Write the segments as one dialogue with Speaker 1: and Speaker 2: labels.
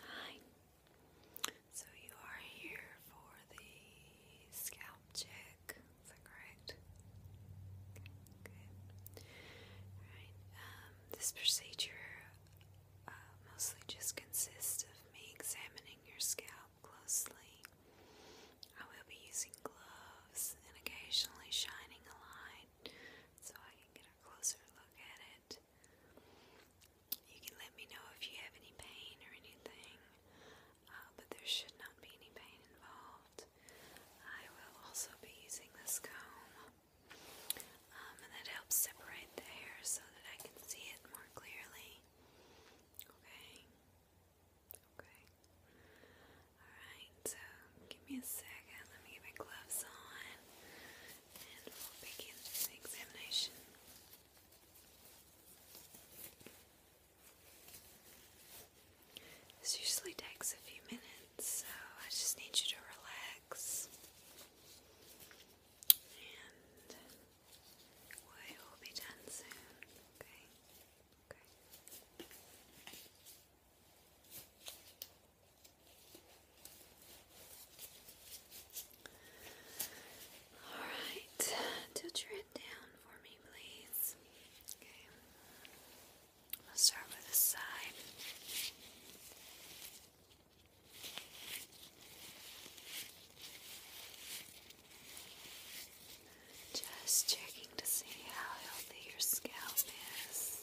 Speaker 1: Hi. So you are here for the scalp check. correct? Good. Alright. Um, this procedure uh, mostly just consists of me examining your scalp closely. I will be using gloves and occasionally shining a light so I can get a closer look at it. You can let me know if you have any pain or anything, uh, but there should not be any pain involved. I will also be using this comb, um, and that helps separate the hair so that I can see it more clearly. Okay. Okay. Alright, so give me a second. Let me get my gloves on and we'll begin the examination. This usually takes a few minutes, so I just need you to relax. And we will be done soon, okay? Okay. All right, tilter it down for me, please. Okay, I'll start with this side. Just checking to see how healthy your scalp is.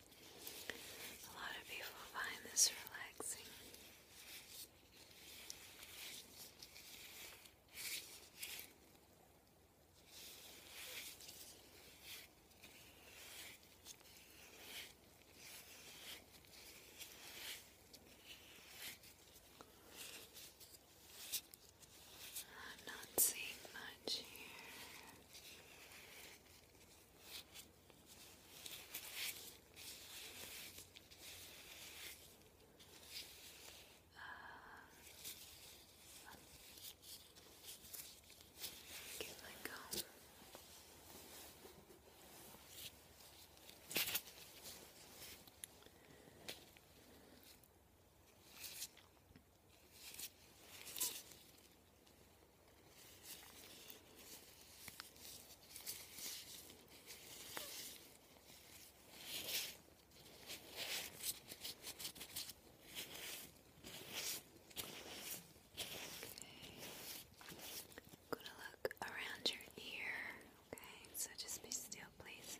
Speaker 1: A lot of people find this relaxing. I'm not seeing much here. Give that go i look around your ear. Okay, so just be still, please.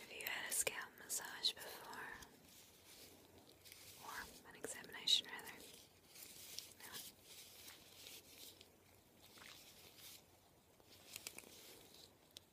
Speaker 1: Have you had a scalp massage before? Or an examination, rather?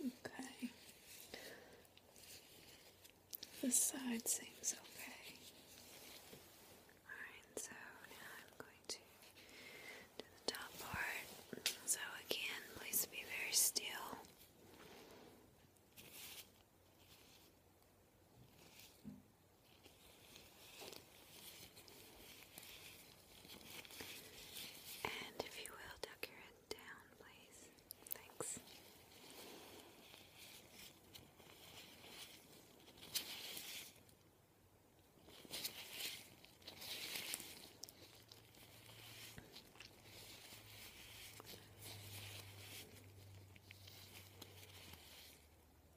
Speaker 1: Okay. This side seems okay. Alright, so now I'm going to do the top part. So again, please be very still. And if you will, duck your head down, please. Thanks.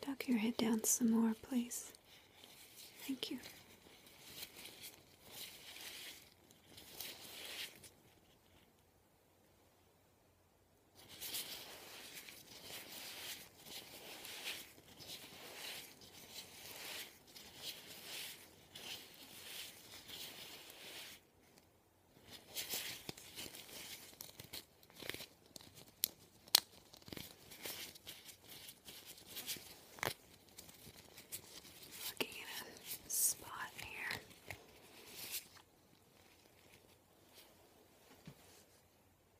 Speaker 1: Tuck your head down some more, please. Thank you. Looking at a spot here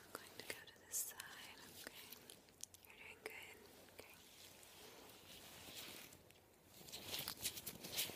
Speaker 1: I'm going to go to this side, okay? You're doing good, okay? Okay.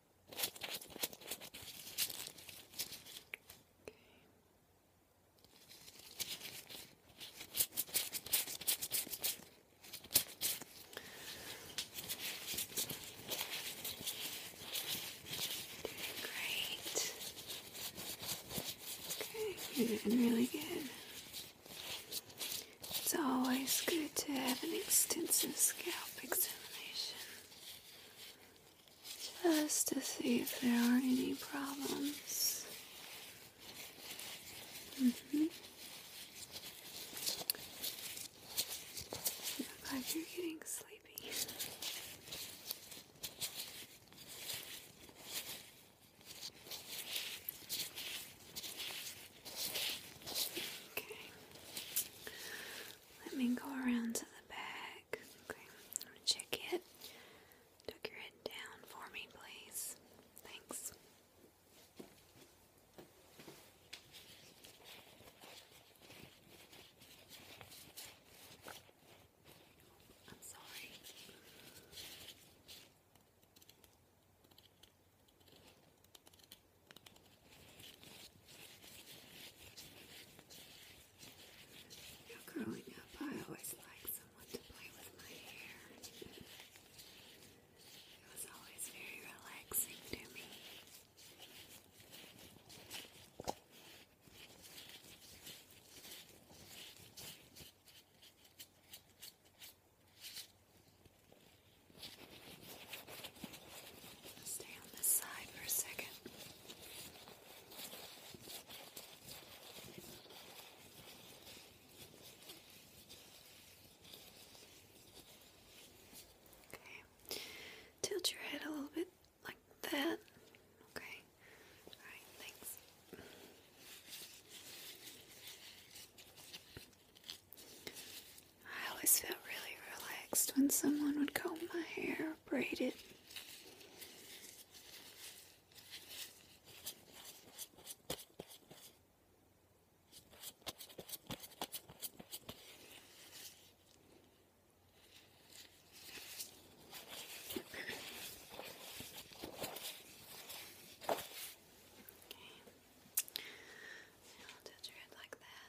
Speaker 1: Great. Okay, you're doing really good. It's always good to have an extensive scalp examination just to see if there are any problems. Mm hmm You you're getting sleepy. Okay. Let me go around to the back. Okay, I'm gonna check it. Tuck your head down for me, please. Thanks. I'm sorry. You know, growing up, I always liked someone to play with my hair. It was always very relaxing to me. I Stay on this side for a second. Okay. Tilt your head a little bit like that. Okay. Alright, thanks. I always felt really relaxed when someone would comb my hair or braid it. Okay. I'll touch your head like that.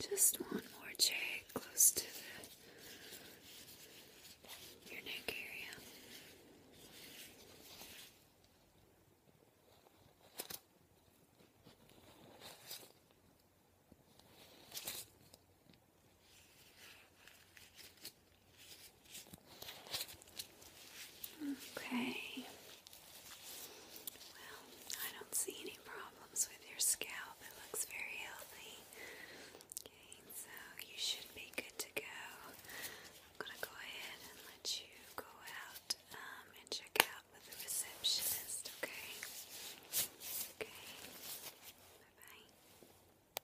Speaker 1: Just one more check close to the, your neck area. Okay. Well, I don't see any problems with your scalp. It looks very healthy. Okay, so you should be good to go. I'm going to go ahead and let you go out um, and check out with the receptionist, okay? Okay. Bye bye.